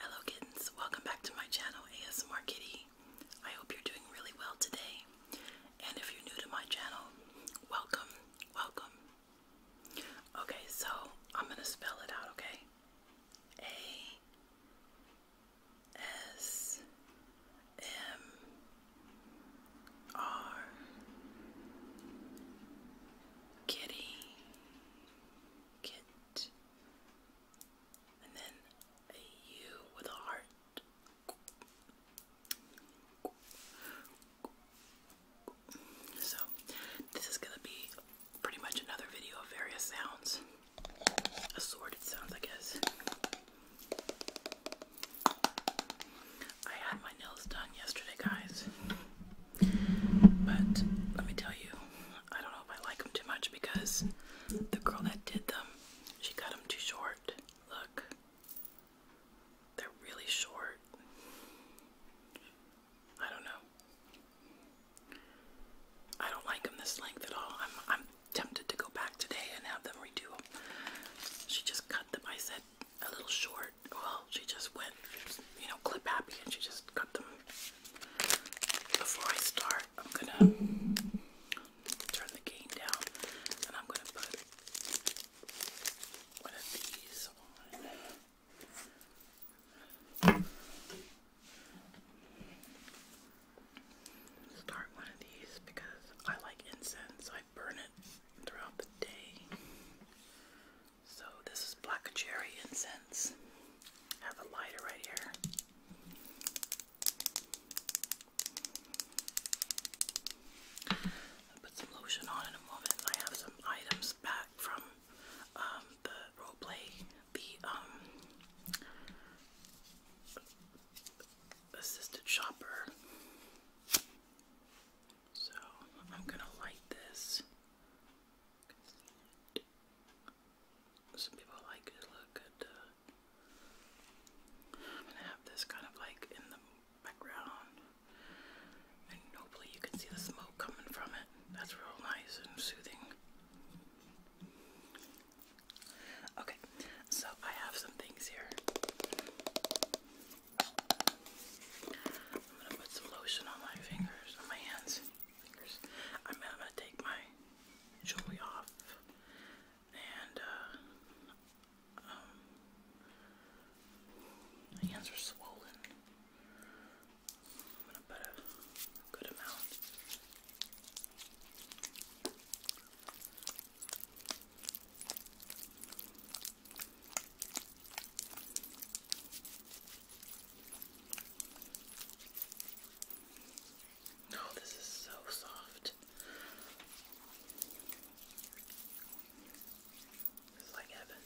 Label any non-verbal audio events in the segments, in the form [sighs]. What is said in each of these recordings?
Hello kittens, welcome back to my channel ASMR Kitty. I hope you're doing really well today. And if you're new to my channel, welcome, welcome. Okay, so I'm gonna spell it out, okay? A S M R Kitty kit. And then a U with a heart. So, this is gonna be pretty much another video of various sounds, assorted sounds, I guess. I had my nails done yesterday, guys. But let me tell you, I don't know if I like them too much because the girl that did them, she cut them too short. Look, they're really short. I don't know. I don't like them this length at all. I'm tempted to go back today and have them redo them. She just cut them. I said a little short well, she just went, you know, clip happy, and she just cut them. Before I start, I'm gonna turn the gain down, and I'm gonna put one of these on. Start one of these because I like incense. I burn it throughout the day. So this is black cherry incense. I have a lighter right here. put some lotion on in a moment. I have some items back from um, the roleplay, the um, assisted shopper. So I'm gonna light this some people like to look at. I'm uh, gonna have this kind of like in the background, and hopefully you can see the smoke coming from it. That's real nice and soothing. Okay, so I have some things here. I'm gonna put some lotion on my fingers, on my hands fingers. I'm gonna take my jewelry off and uh, um, my hands are swollen. I'm gonna put a good amount. No, oh, this is so soft. It's like heaven.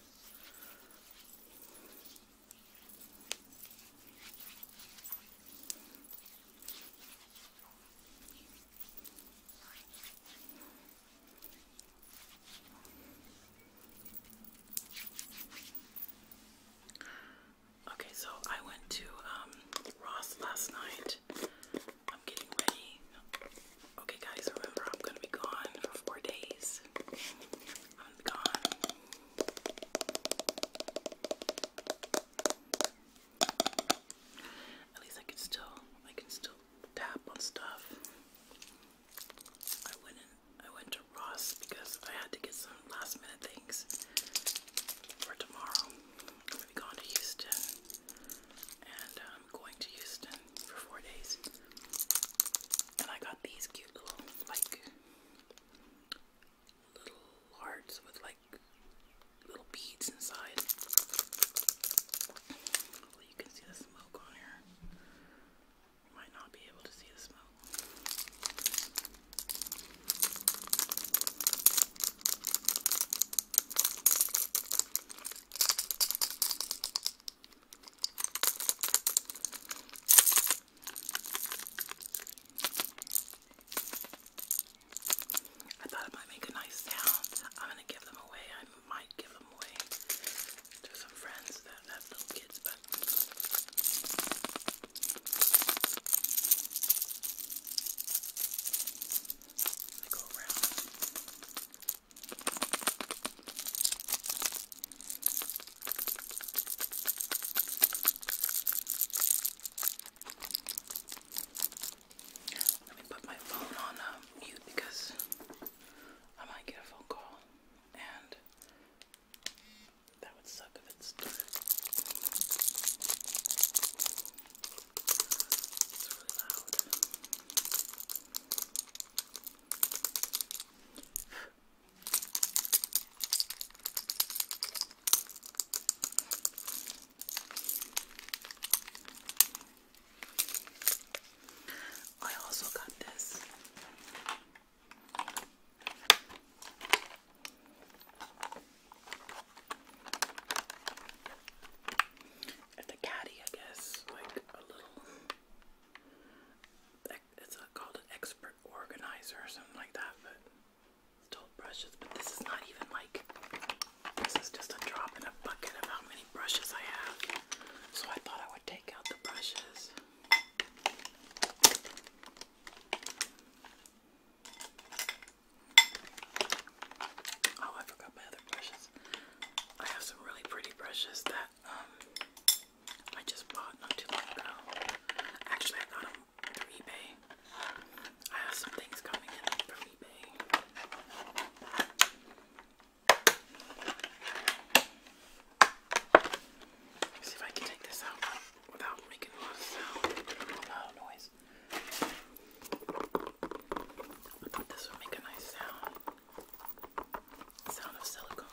Okay, so I went to um, Ross last night. I'm getting ready. Okay, guys, remember I'm gonna be gone for four days. I'm gone. At least I can still, I can still tap on stuff. I went to Ross because I had to get some last minute things for tomorrow. I'm gonna Houston, and I'm um, going to Houston for four days. And I got these cute little like little hearts with like little beads inside. you can see the smoke on here. I thought it might make a nice sound. I'm gonna give them away. I might give them away to some friends that have little kids, but they go around. Let me put my phone on uh, mute because I might get a phone call and that would suck if it's dirt. It's really loud. [sighs] I also got this it's a caddy, I guess, like a little. It's called an expert organizer or something like that, but still brushes. But this is not even like. This is just a drop in a bucket of how many brushes I have. So I thought I would take out the brushes. Oh, I forgot my other brushes. I have some really pretty brushes that um, I just bought not too long ago. Actually, I got them through eBay. I have some things coming in from eBay. See if I can take this out without making a lot of sound, loud noise. I thought this would make a nice sound. Sound of silicone.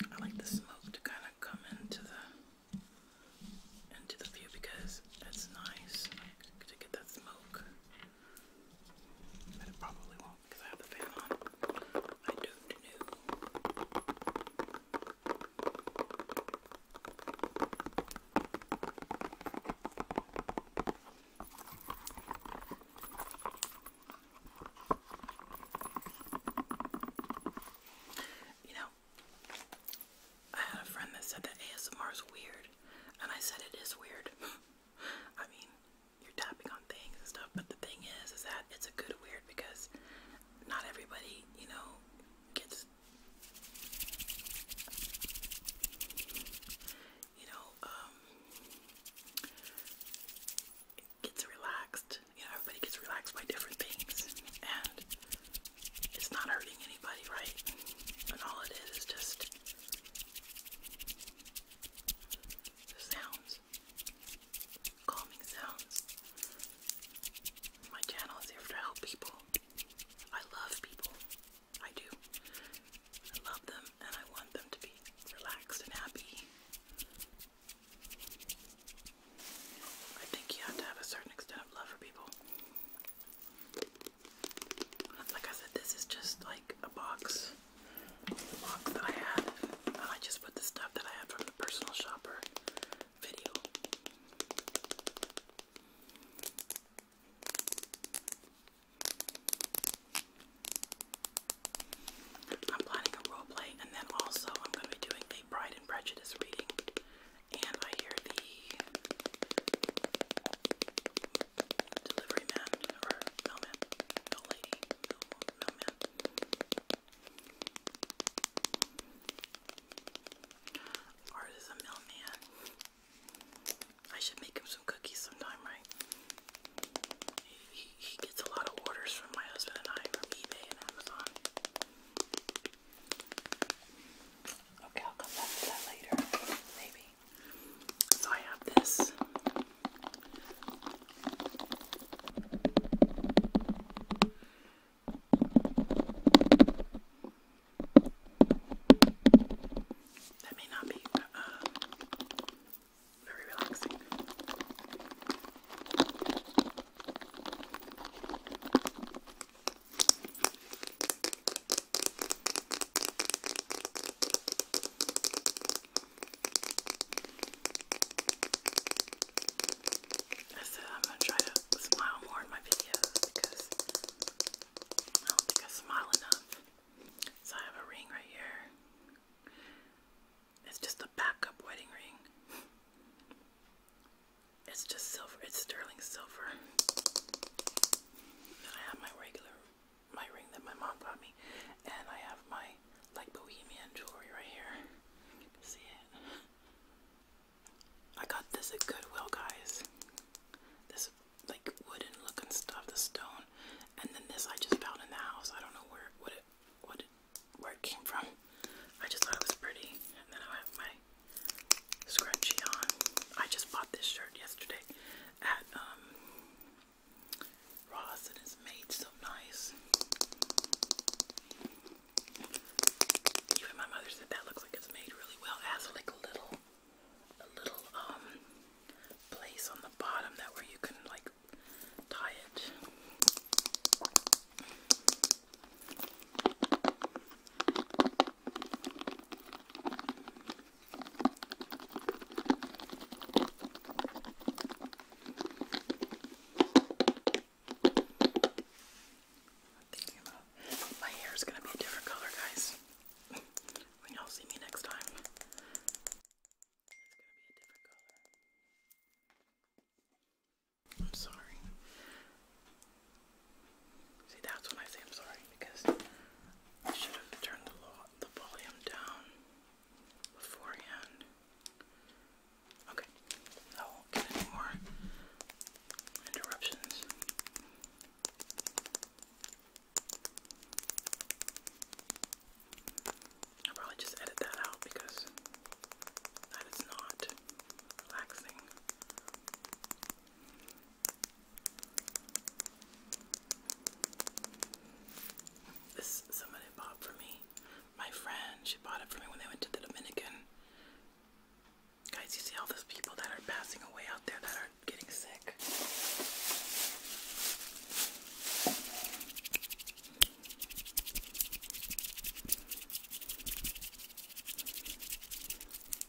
I like the smoke to kind of come into the into the view because that's nice to get that smoke. But it probably won't because I have the fan on. I don't know. You know, I had a friend that said that ASMR is weird, and I said it is weird. [laughs] I mean, you're tapping on things and stuff, but the thing is, is that it's a good weird because not everybody, you know, gets, you know, um, gets relaxed. You know, everybody gets relaxed by different things, and it's not hurting anybody, right? And all it is is just sounds, calming sounds. My channel is here to help people. I love people. I do. I love them and I want them to be relaxed and happy. I think you have to have a certain extent of love for people like I said, this is just like a box, a box that I had. I just put the stuff that I had from the personal shopper video. I'm planning a role play, and then also I'm going to be doing a Pride and Prejudice reading and I hear the delivery man or mailman, no lady, mailman. Or is mailman? I should make him some cookies sometime, right? He, he gets a lot of orders from my husband and I from eBay and Amazon. Okay, I'll come back to that later, maybe. So I have this. That may not be uh, very relaxing. I said I'm gonna try to smile more in my videos because I don't think I smile enough. So I have a ring right here. It's just a backup wedding ring. It's just silver. It's sterling silver. I have my regular, my ring that my mom bought me, and I have my like bohemian jewelry right here. see it. I got this at Goodwill, guys. This like wooden looking stuff, the stone, and then this I just found in the house. I don't know where what what where it came from. I just thought it was pretty, and then I have my scrunchie on. I just bought this shirt yesterday at um, Ross and it's made so nice. Even my mother said that looks like it's made really well. has like a little, a little um place on the bottom that where you can like tie it thinking my hair is gonna be a different color, guys. [laughs] when y'all see me next time, I'm sorry. See, that's when I say I'm sorry because I should have turned the, volume down beforehand. Okay, I won't get any more interruptions. I'll probably just edit that out because that is not relaxing. This somebody bought for me. My friend, she bought it for me when they went to the Dominican. Guys, you see all those people that are passing away out there that are getting sick.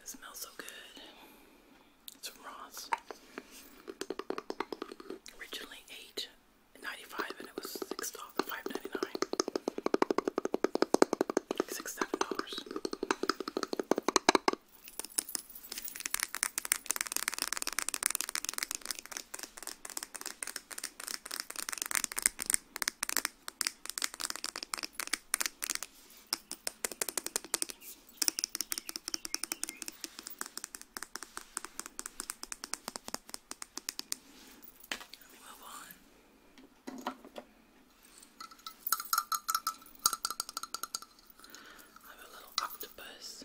It smells so good. It's from Ross. Originally eight ninety five and it was six dollars dollars. Let me move on. I have a little octopus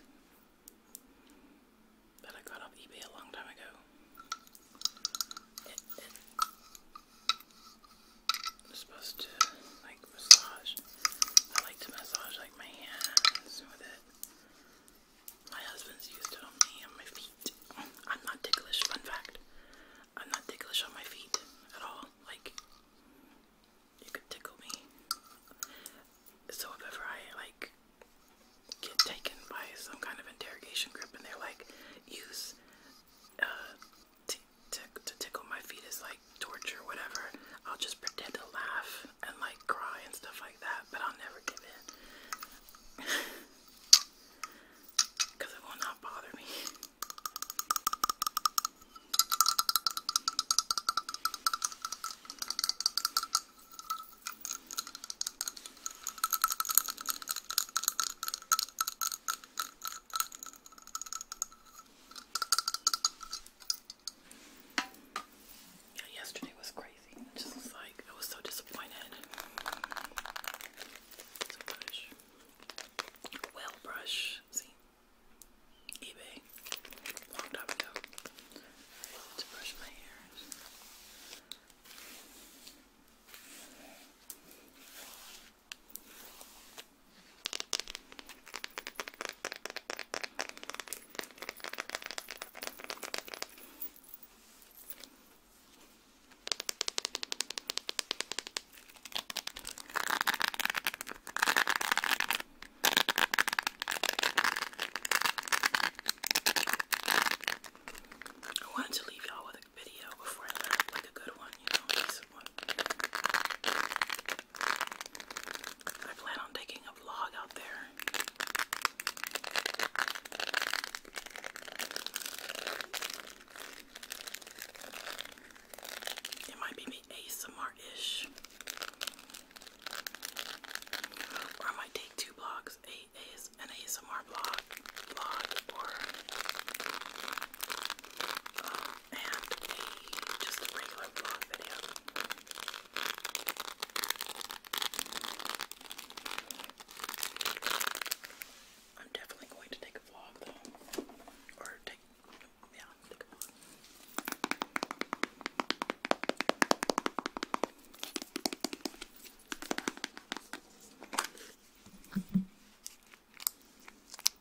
that I got off eBay a long time ago. It, it, I'm supposed to like massage. I like to massage like my hands with it. My husband's used to on me and my feet. I'm not ticklish, fun fact. I'm not ticklish on my feet at all. Like you could tickle me. So if ever I like get taken by some kind of interrogation group and they're like, use uh, to, to, tickle my feet is like torture, whatever. I'll just pretend to laugh and like cry and stuff like that, but I'll never give in. Because [laughs] it will not bother me. Yeah, yesterday was crazy. It just was like I was so disappointed. It's a brush. Well brush. See? eBay. Long time ago. To brush my hair. I wanted to leave y'all with a video before I left, like a good one, you know, a one. I plan on taking a vlog out there. It might be me ASMR-ish. Or I might take two blogs, an ASMR blog, blog, or um, and just a regular vlog video. I'm definitely going to take a vlog though, or take yeah, take a vlog.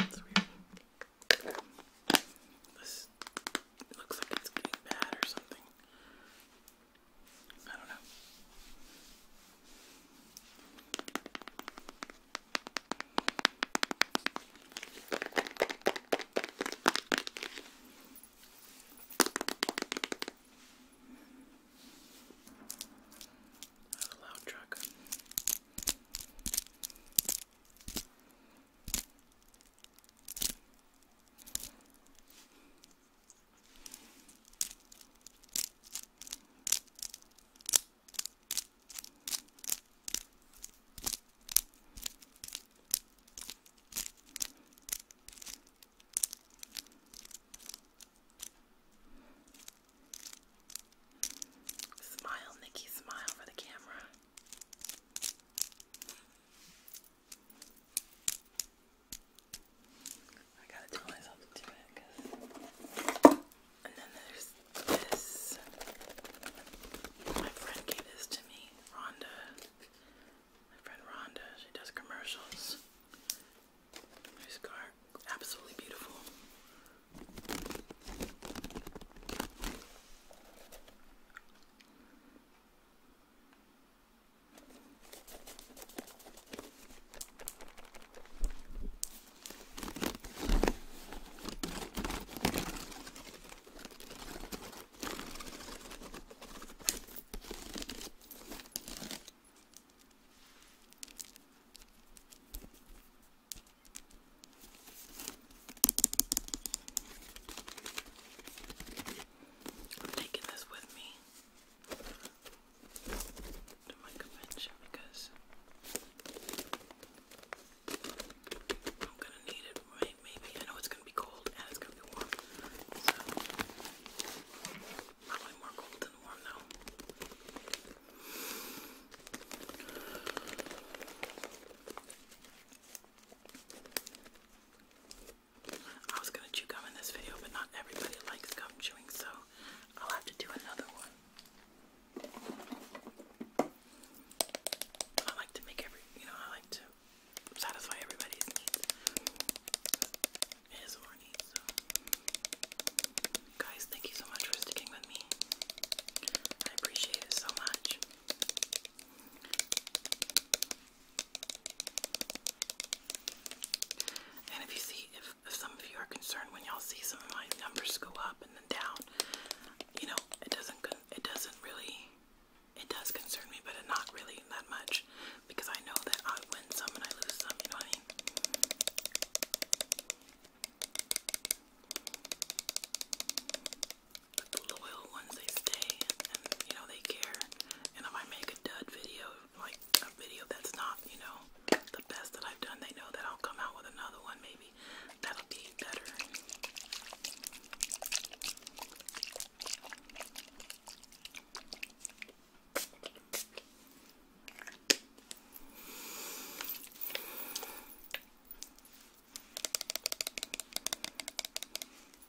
It's weird. This looks like it's getting bad or something. I don't know. Not a loud truck. Smile, Nikki, smile for the camera. I gotta tell myself to do it, And then there's this. My friend gave this to me, Rhonda. My friend Rhonda, she does commercials. Her scarf, absolutely beautiful. I'm taking this with me to my convention because I'm gonna need it maybe. I know it's gonna be cold and it's gonna be warm. probably more cold than warm though. I was gonna chew gum in this video, but not everybody likes gum chewing, so I'll have to do another one. I like to make every, you know, I like to satisfy everybody's needs. His or so. Guys, thank you so much for sticking with me. I appreciate it so much. And if you see, if some of you are concerned when y'all see some of my numbers go up and then down, you know, it doesn't, it doesn't really it does concern me, but not really that much because I know that I win some and I lose some, you But the loyal ones, they stay and, you know, they care. And if I make a dud video, like a video that's not, you know, the best that I've done, they know that I'll come out with another one maybe that'll be better.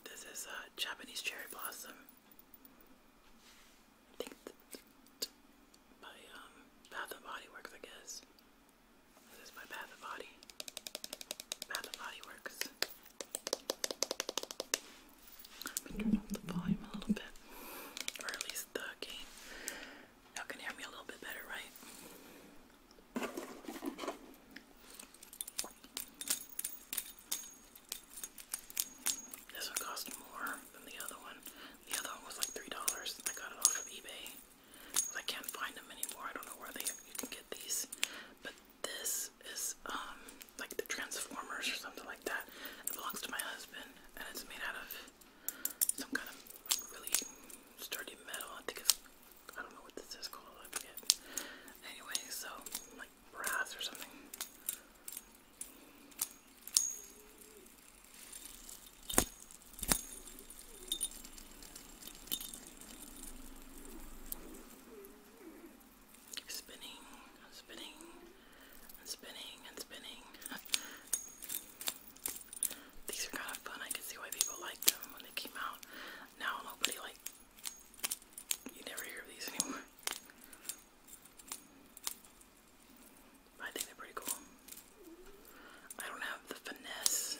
This is a uh, Japanese cherry blossom. I think by um, Bath and Body Works, I guess. This is by Bath and Body. Bath and Body Works. I'm turn up the volume a little bit, or at least the gain. Y'all can hear me a little bit better, right? This one cost more than the other one. The other one was like $3. I got it off of eBay. I can't find them anymore. I don't know where they you can get these. This is um, like the Transformers or something like that. It belongs to my husband and it's made out of some kind of really sturdy metal. I think it's I don't know what this is called, I forget. Anyway, so like brass or something spinning, spinning, spinning, and spinning. [laughs] These are kind of fun. I can see why people liked them when they came out. Now nobody like. You never hear these anymore. I think they're pretty cool. I don't have the finesse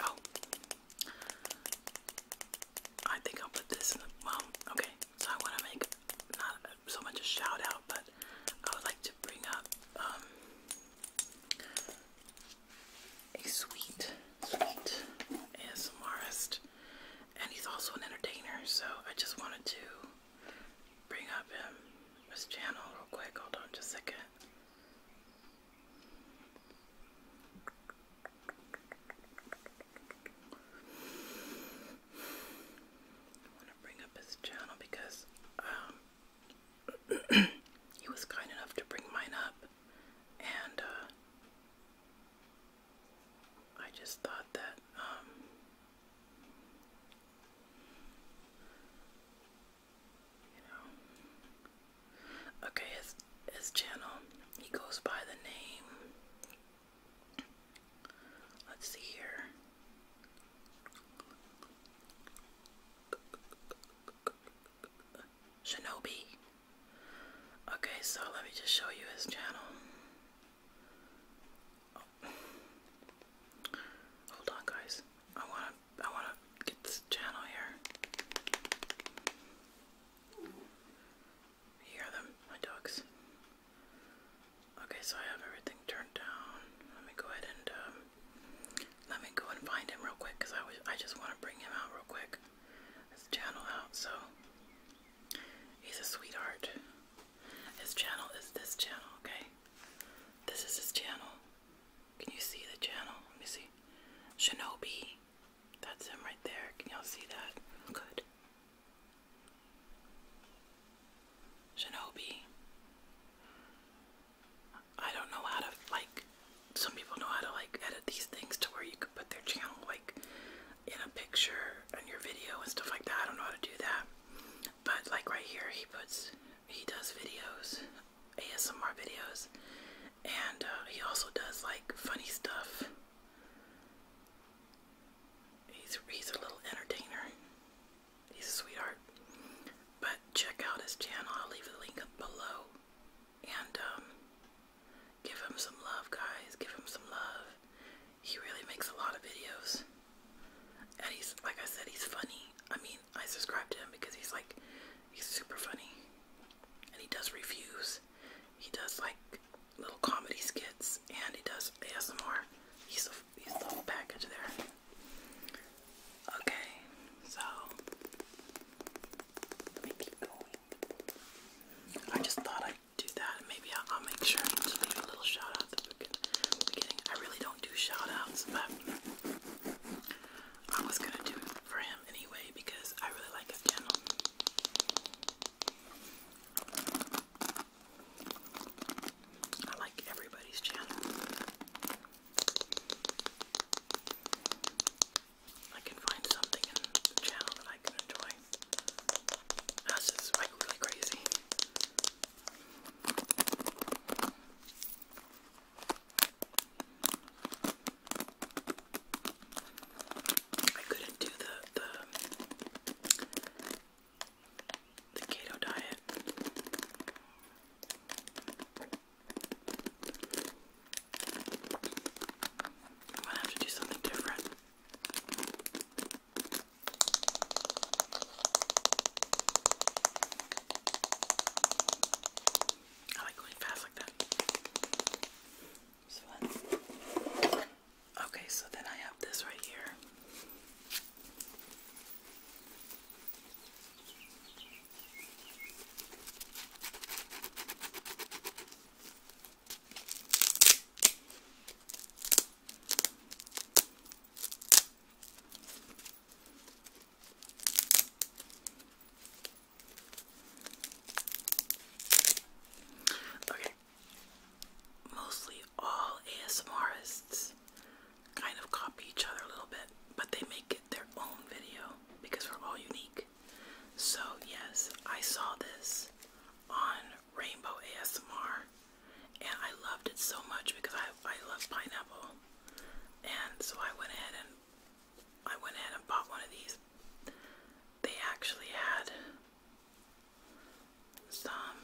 Oh. I think I'll put this in the well, okay. So I wanna make not so much a shout but I would like to bring up um, a sweet, sweet ASMRist. And he's also an entertainer, so I just wanted to bring up his channel real quick. Hold on just a second. I want to bring up his channel because um, [clears throat] he was kind enough to bring mine up, and uh, I just thought that um, Okay, his his channel. He goes by the name. Let's see here. Shinobi. Okay, so let me just show you his channel. Hold on, guys. I wanna, I wanna get this channel here. hear them, my dogs. Okay, so I have everything turned down. Let me go ahead and um, let me go and find him real quick, cause I I just want to bring him out real quick. This channel out, so he's a sweetheart. His channel is this channel, okay? This is his channel. Can you see the channel? Let me see. Shinobi. That's him right there. Can y'all see that? Good. Shinobi. I don't know how to, like, some people know how to, like, edit these things to where you could put their channel, like, in a picture and your video and stuff like that. I don't know how to do that. But like right here, he puts, he does videos, ASMR videos, and uh, he also does like funny stuff. He's he's a little entertainer. He's a sweetheart. But check out his channel. I'll leave a link below. And um, give him some love, guys. Give him some love. He really makes a lot of videos. And he's, like I said, he's funny. I mean, I subscribe to him because he's like, he's super funny. And he does reviews. He does like little comedy skits and he does ASMR. He's a, he's the whole package there. Okay, so let me keep going. I just thought I'd do that maybe I'll, make sure to leave a little shout out at the beginning. I really don't do shout outs, but I was gonna do it for him anyway because I really like his channel. I like everybody's channel. I can find something in the channel that I can enjoy. That's just like really crazy. I couldn't do the the the keto diet. I'm gonna have to do something different. I like going fast like that. It's fun. Okay, so then I have this right here. Okay. Mostly all ASMRists kind of copy each other a little bit, but they make it their own video because we're all unique. So, yes, I saw this on Rainbow ASMR, and I loved it so much because I I love pineapple, and so I went ahead and I went ahead and bought one of these. They actually had some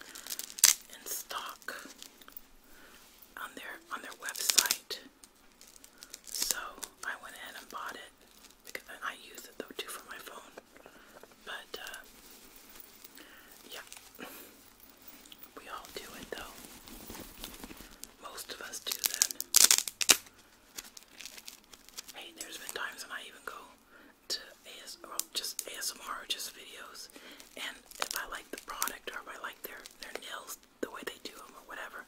in stock on their on their website, so I went ahead and bought it because I use it though too for my phone. But, uh, yeah. We all do it though. Most of us do that. Hey, there's been times when I even go to AS, well, just ASMR just videos, and if I like the product or if I like their, their nails, the way they do them or whatever,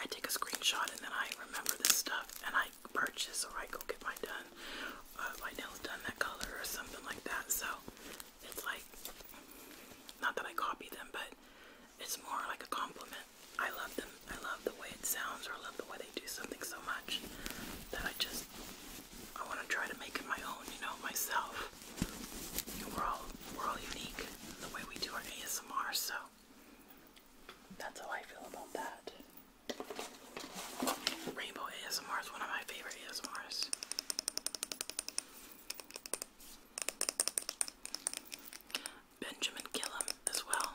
I take a screenshot and then I remember this stuff and I purchase or I go get my done, uh, my nails done that color or something like that. So it's like, not that I copy them, but it's more like a compliment. I love them. I love the way it sounds or I love the way they do something so much that I just, I want to try to make it my own, you know, myself. We're all, we're all unique the way we do our ASMR, so that's how I feel about that. Rainbow ASMR is one of my favorite ASMRs. Benjamin Gillum as well.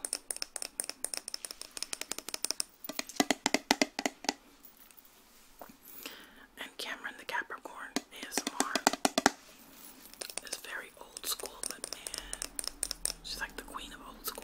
And Cameron the Capricorn ASMR is very old school, but man, she's like the queen of old school.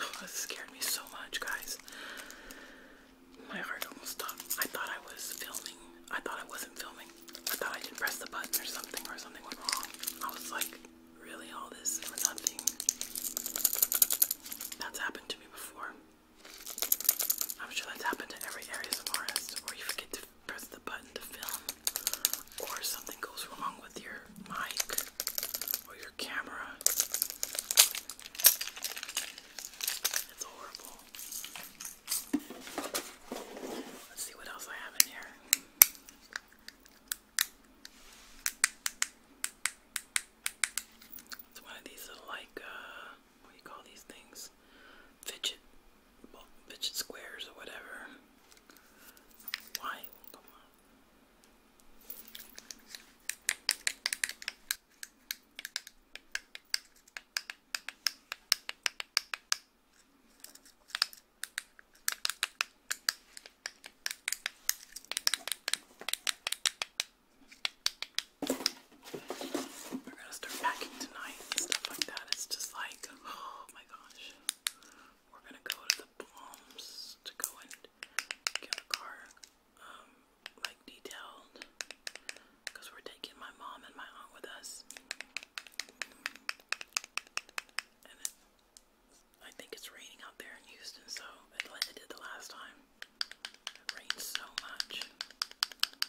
Oh, scared me so much, guys. My heart almost stopped. I thought I was filming. I thought I wasn't filming. I thought I didn't press the button or something, or something went wrong. I was like, really, all this for nothing? That's happened to me before. I'm sure that's happened to every ASMRist where you forget to press the button to film or something goes wrong with your mic or your camera. It's horrible. Let's see what else I have in here. It's one of these little like uh, what do you call these things? Fidget, fidget squares or whatever. Why? We're gonna start packing tonight and stuff like that. It's just like, oh my gosh. We're gonna go to the Palms to go and get a car, um, like detailed. we're taking my mom and my aunt with us. And I think it's raining out there in Houston, so Atlanta did the last time. It rained so much.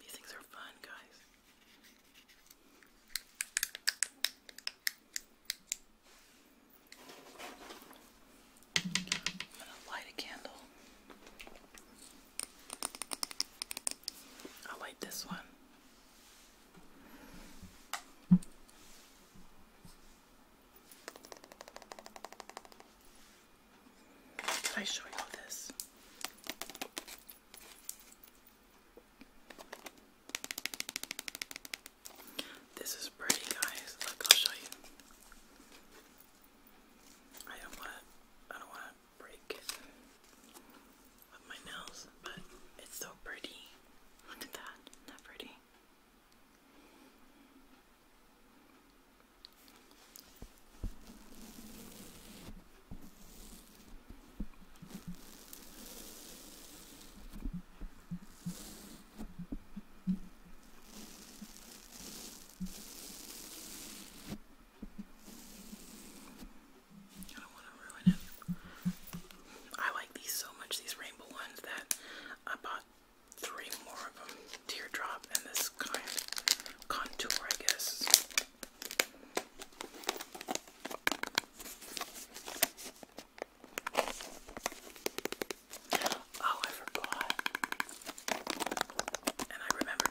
These things are fun, guys. I'm going to light a candle. I'll light this one. Can I show you all this? This is pretty, guys. Look, I'll show you. I don't want to. I don't want to break with my nails, but it's so pretty. Look at that. Isn't pretty? I like these so much, these rainbow ones, that I bought three more of them. Teardrop and this kind contour, I guess. Oh, I forgot. And I remember.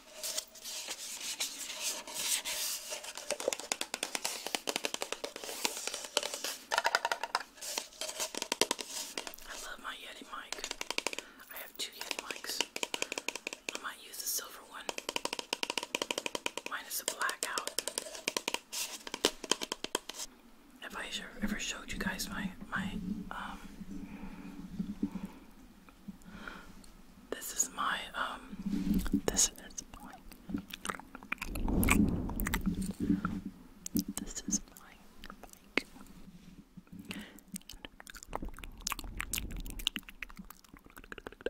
I love my Yeti mic. I have two Yeti mics. I might use the silver one. Mine is a blackout. If I ever showed you guys my my um this is my um this is my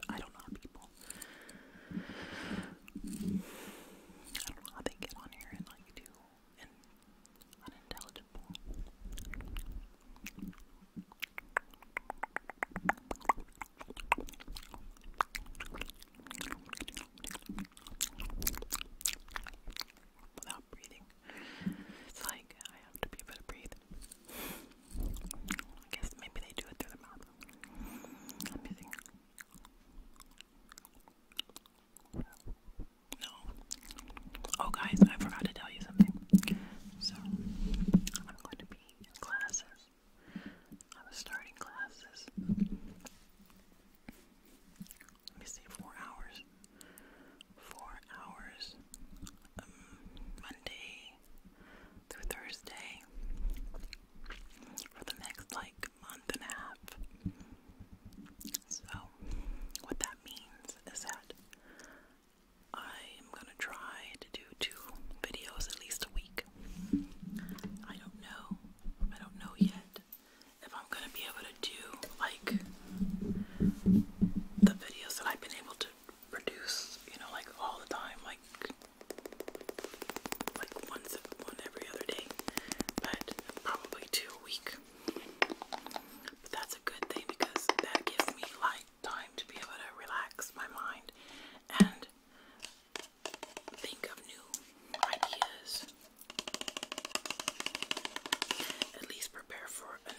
I don't know people I don't know how they get on here and like do unintelligible Without breathing, it's like I have to be able to breathe. I guess maybe they do it through the mouth. No. Oh, guys, I forgot to tell you something. So, I'm going to be classes. I was starting classes. Let me see, four hours. Four hours. Um, Monday through Thursday for the next like month and a half. So, what that means is that I am gonna try to do two videos at least a week. I don't know. I don't know yet if I'm gonna be able to do like the videos that I've been able to produce, you know, like all the time, like like once one every other day, but probably two a week. But that's a good thing because that gives me like time to be able to relax my mind and think of new ideas. At least prepare for a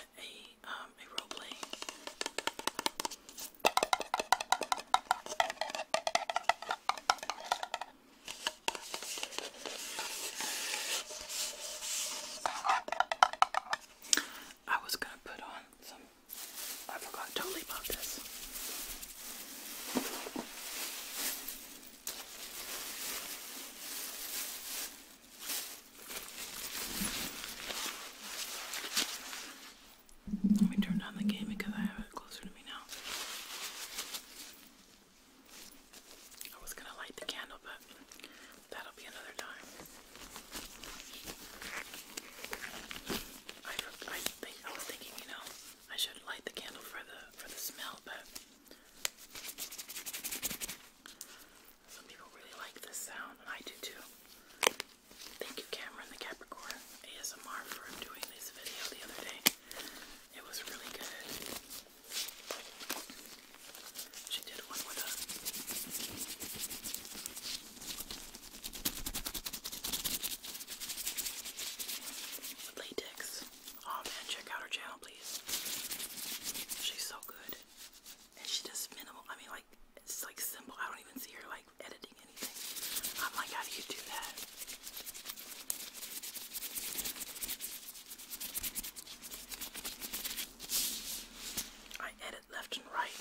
um, a role play. I was gonna put on some I forgot totally about this. Let me turn down the game because I have it closer to me now. I was gonna light the candle, but that'll be another time. I, was thinking, you know, I should light the candle for the for the smell, but some people really like this sound, and I do too. Thank you, Cameron the Capricorn ASMR, for doing this video the other day. It was really good. She did one with a latex. Oh man, check out her channel, please. She's so good. And she does minimal, I mean, like, it's like simple. I don't even see her like editing anything. I'm like, how do you do that? I edit left and right.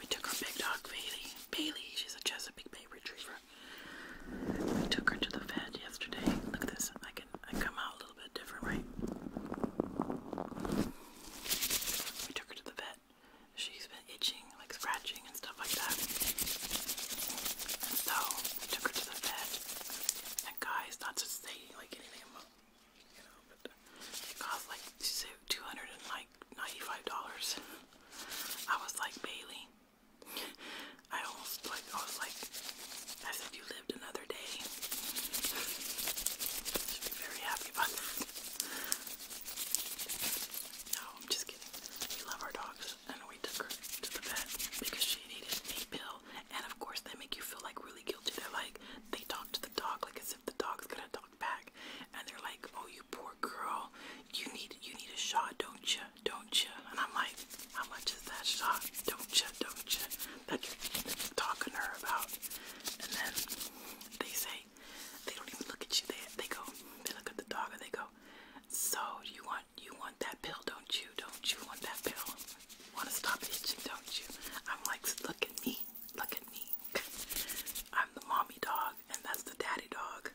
We took our big dog Bailey. Bailey, she's a Chesapeake Bay Retriever. We took her to the vet yesterday. Look at this. I can I come out a little bit different, right? We took her to the vet. She's been itching, like scratching and stuff like that. And so we took her to the vet. That guy's not to say like anything you know, but it cost like two hundred and like ninety-five dollars. I was like Bailey. I almost like I was like as if you lived another day. Should be very happy about that. No, I'm just kidding. We love our dogs and we took her to the vet because she needed a pill and of course they make you feel like really guilty. They're like they talk to the dog like it's as if the dog's gonna talk back, and they're like, "Oh, you poor girl, you need you need a shot, don't you? Don't you?" And I'm like, "How much is that shot? Don't you? Don't you?" That you're talking to her about, and then they say they don't even look at you. They they go, they look at the dog, and they go, "So you want you want that pill, don't you? Don't you want that pill?" Want to stop itching, don't you? I'm like, look at me. Look at me. I'm the mommy dog, and that's the daddy dog,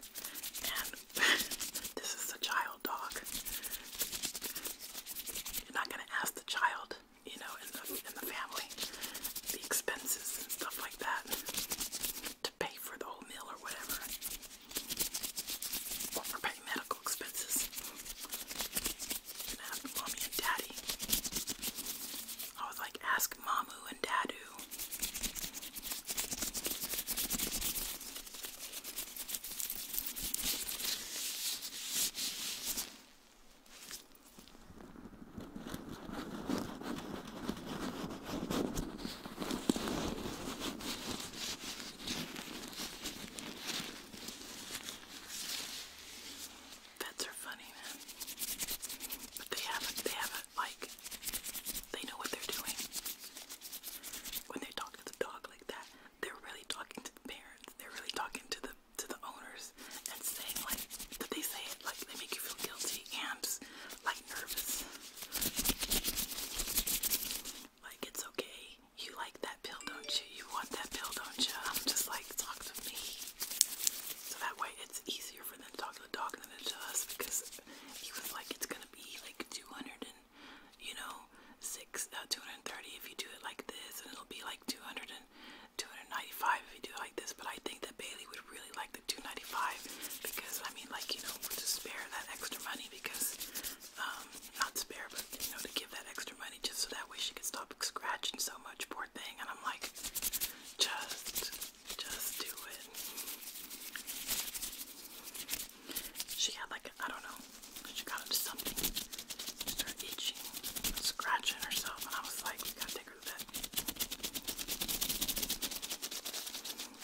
and [laughs] this is the child dog. You're not gonna ask the child, you know, in the in the family, the expenses and stuff like that, to pay for the whole meal or whatever, or for medical expenses. you mommy and daddy. I was like, ask Mamu and Dadu. Vets are funny, man. But they haven't, they haven't, like, they know what they're doing. When they talk to the dog like that, they're really talking to the parents. They're really talking to the to the owners and saying like that they say it like they make you feel guilty and like nervous. Like it's okay. You like that pill, don't you? You want that pill, don't you? I'm just like talk to me. So that way it's easier easier for them to talk to the dog than it to us because even like it's gonna be like 200 and you know six uh, 230 if you do it like this and it'll be like 200 and 295 if you do it like this but I think that Bailey would really like the 295 because I mean like you know to spare that extra money because um not spare but you know to give that extra money just so that way she could stop scratching so much poor thing and I'm like just, just do it. She had like, I don't know, she got into something. She started itching, scratching herself, and I was like, we gotta take her to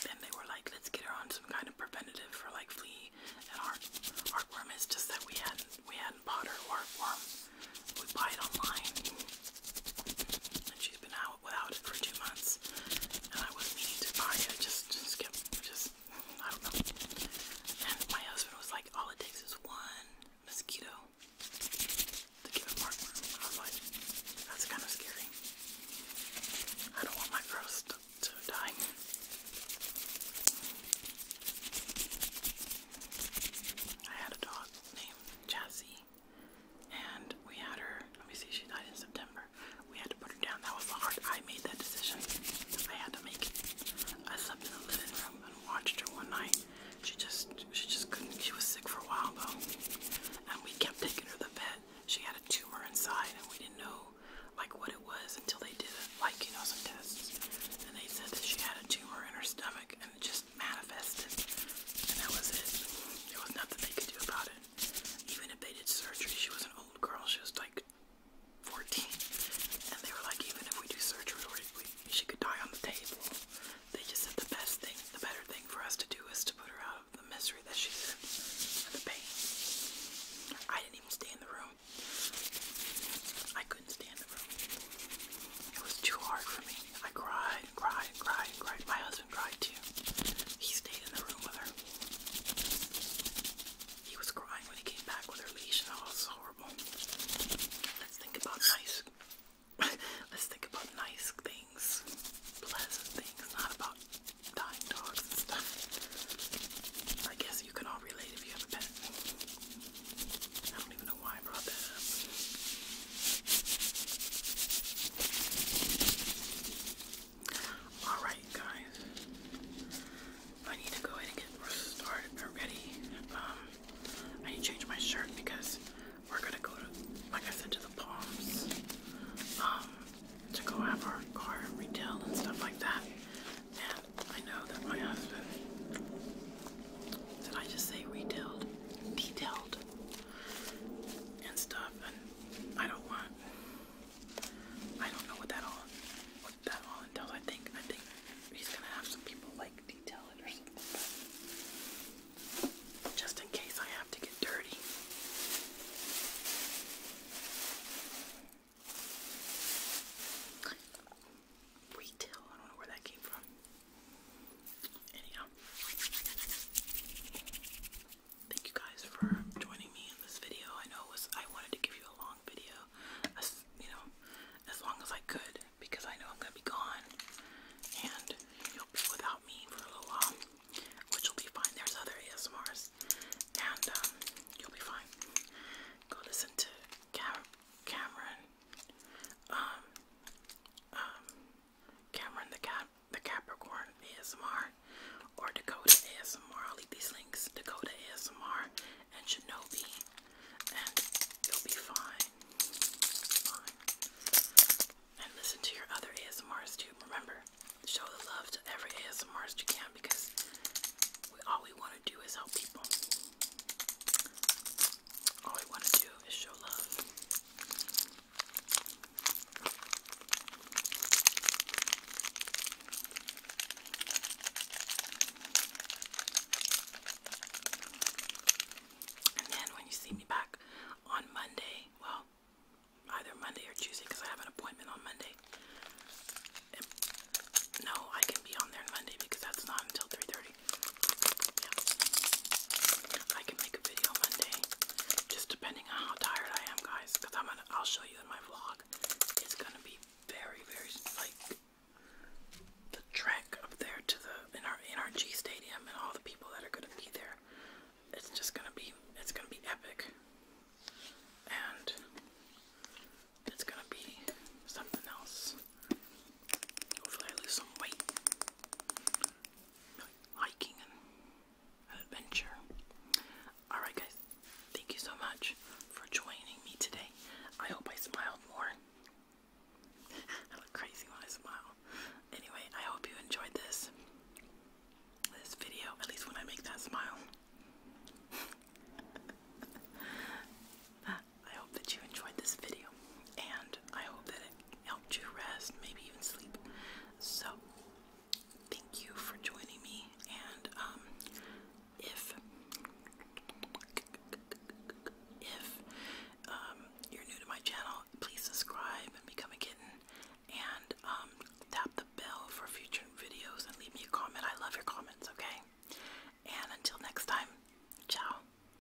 they were like, let's get her on some kind of preventative for like flea and heart heartworm. It's just that we hadn't we hadn't bought heartworm we buy it online. And she's been out without it for two months. And I was meaning to buy it. just, just kept, just, I don't know. And my husband was like, all it takes is one mosquito to get a markworm. I was like, that's kind of scary. I don't want my girls to, die. I had a dog named Jazzy and we had her, let me see, she died in September. We had to put her down. That was hard. I made that decision. I had to make it. I slept in the living room and watched her one night. She just, she just couldn't. She was sick for a while though, and we kept taking her to the vet. She had a tumor inside, and we didn't know like what it was until they did like you know some tests, and they said that she had a tumor in her stomach, and it just manifested, and that was it. There was nothing they could do about it. Even if they did surgery, she was an old girl. She was like 14, and they were like, even if we do surgery, she could die on the table. They just said the best thing, the better thing for us to do is to put her out of the misery that she's in and the pain. I didn't even stay in the room. I couldn't stay the room. It was too hard for me. I cried and cried and cried and cried. My husband cried too. He stayed in the room with her. He was crying when he came back with her leash, and it was horrible. Let's think about nice. [laughs] Let's think about nice things, pleasant things, not about dying dogs and stuff. I guess you can all relate if you have a pet. I Alright, guys. I need to go ahead and get started already. Um, I need to change my shirt because we're gonna go to, like I said, to the Palms um, to go have our car retail and stuff like that. And I know that my husband, did I just say retailed? Detail and stuff, and I don't want. I don't know what that all what that all entails. I think I think he's gonna have some people like detail just in case I have to get dirty. Retail. I don't know where that came from. Anyhow, thank you guys for joining me in this video. I know was I wanted to give you a long video, as, you know, as long as I could, because I know I'm gonna be gone, and you'll be without me for a little while, which will be fine. There's other ASMRs, and um, you'll be fine. Go listen to Cameron um, um, Cameron the Cap, the Capricorn ASMR, or Dakota ASMR. I'll leave these links. Dakota ASMR and Shinobi, and you'll be fine. And listen to your other ASMRs too. Remember, show the love to every ASMR you can because all we want to do is help people all we want to do is show love. And then when you see me back on Monday, well, either Monday or Tuesday because I have an appointment on Monday. no, I can be on there Monday because that's not until 3:30. I can make a video one just depending on how tired I am, guys. Cause I'm gonna, I'll show you in my vlog. It's gonna be very, very like the trek up there to the in our in our G Stadium and all the people that are gonna be there. It's just gonna be, it's gonna be epic, and it's gonna be something else. Hopefully I lose some weight. Hiking and adventure. Alright guys, thank you so much for joining me today. I hope I smiled more. [laughs] I look crazy when I smile. Anyway, I hope you enjoyed this this video, at least when I make that smile. [laughs] I hope that you enjoyed this video and I hope that it helped you rest, maybe even sleep. So, thank you for joining me. And um, if if um, you're new to my channel, please subscribe and become a kitten. And um, tap the bell for future videos and leave me a comment. I love your comments. Okay. And until next time, ciao.